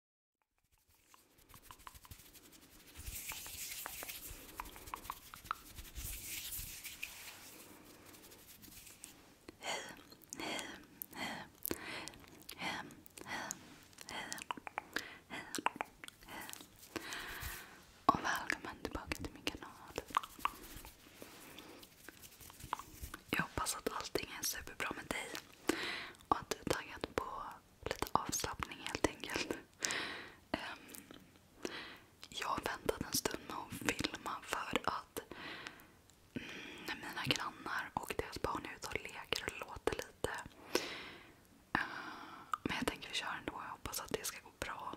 Hej, hej, hej, hej, hej, hej, hej, och välkommen tillbaka till min kanal. Jag hoppas att allting är superbra med dig. Och att du är taggad på lite avslappning helt enkelt. Um, jag har väntat en stund med att filma för att när mm, mina grannar och deras barn är ute och leker och låter lite. Uh, men jag tänker vi kör ändå. Jag hoppas att det ska gå bra.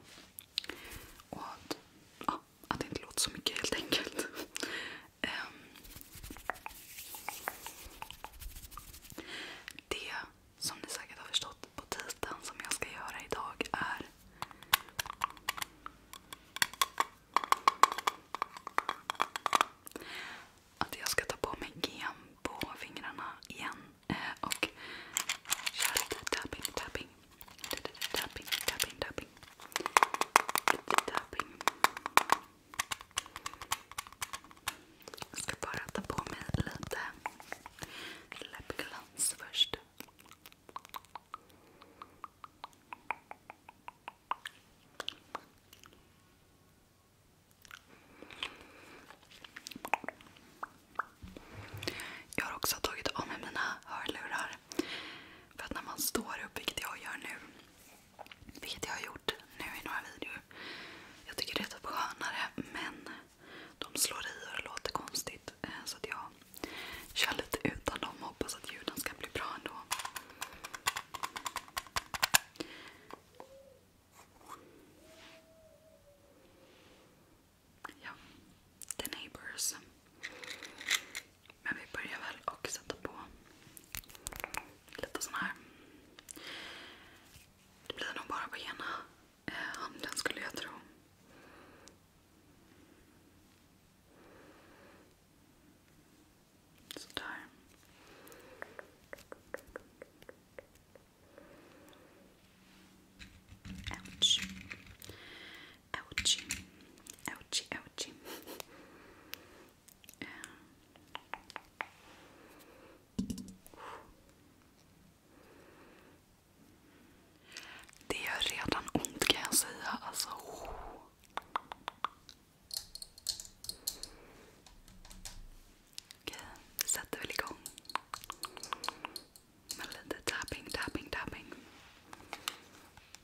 Och att, ja, att det inte låter så mycket helt enkelt. Ehm, det som ni säkert har förstått på titeln som jag ska göra idag är att jag ska ta på mig gem på fingrarna igen ehm, och köra lite tapping, tapping. Lite tapping. Jag ska bara ta på mig lite läppglans först. Jag har också tagit av mig mina hörlurar. För att när man står upp, vilket jag gör nu, vilket jag har gjort nu i några videor. Jag tycker det är typ skönare men de slår i och låter konstigt. Eh, så att jag kör lite utan dem och hoppas att ljuden ska bli bra ändå. Ja, The Neighbors. Men vi börjar väl och sätta på lite sån här. Det blir nog bara på ena eh, handen skulle jag tro. Sådär. Ouch. Ouchie. Ouchie, ouchie. Uh. Det gör redan ont kan jag säga. Alltså. Oh. Okej, vi sätter väl igång. Med lite tapping, tapping, tapping.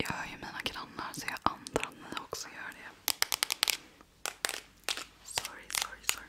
Jag hör ju mina grannar så jag antar att ni också gör det. Sorry, sorry, sorry.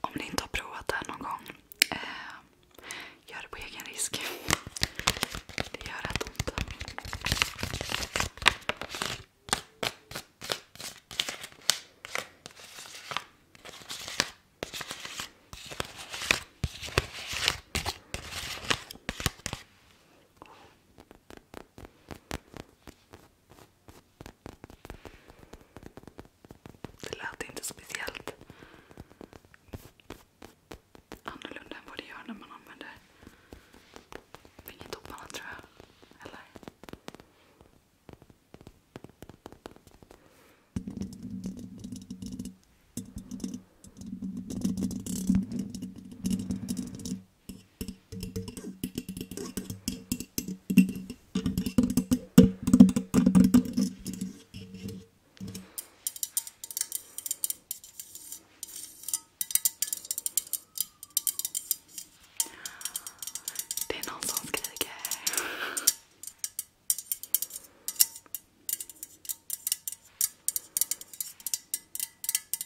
Om ni inte har provat det här någon gång, eh, gör det på egen risk. Det gör rätt ont. Det lät inte speciellt annorlunda än vad det gör när man använder fingertopparna tror jag. Eller? Det är någon som skriker.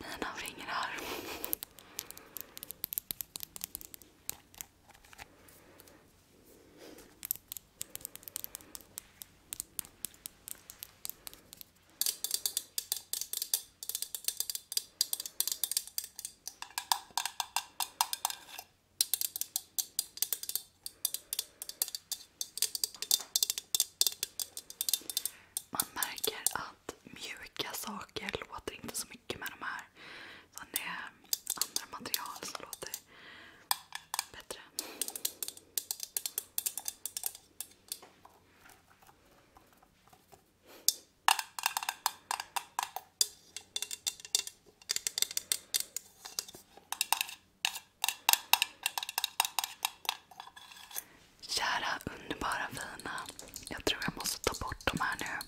Mina fingrar. Man märker att att mjuka saker låter inte så mycket med de här. Så det är andra material som låter bättre. Kära underbara fina. Jag tror jag måste ta bort de här nu.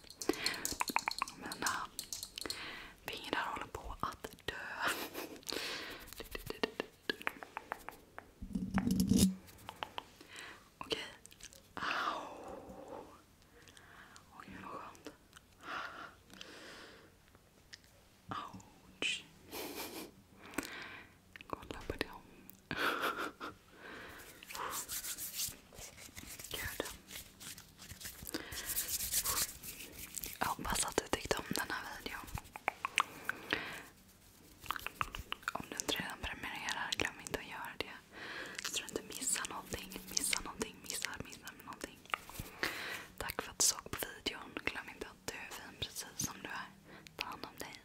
Mina fingrar äh, håller på att dö. Okej. Au. Åh gud vad skönt. Ouch. Kolla på dem. Gud. Jag hoppas att du tyckte om den här videon. Om du inte redan prenumererar, glöm inte att göra det. Så du inte missar någonting. Missar någonting, missar, missar någonting. Tack för att du såg på videon. Glöm inte att du är fin precis som du är. Ta hand om dig.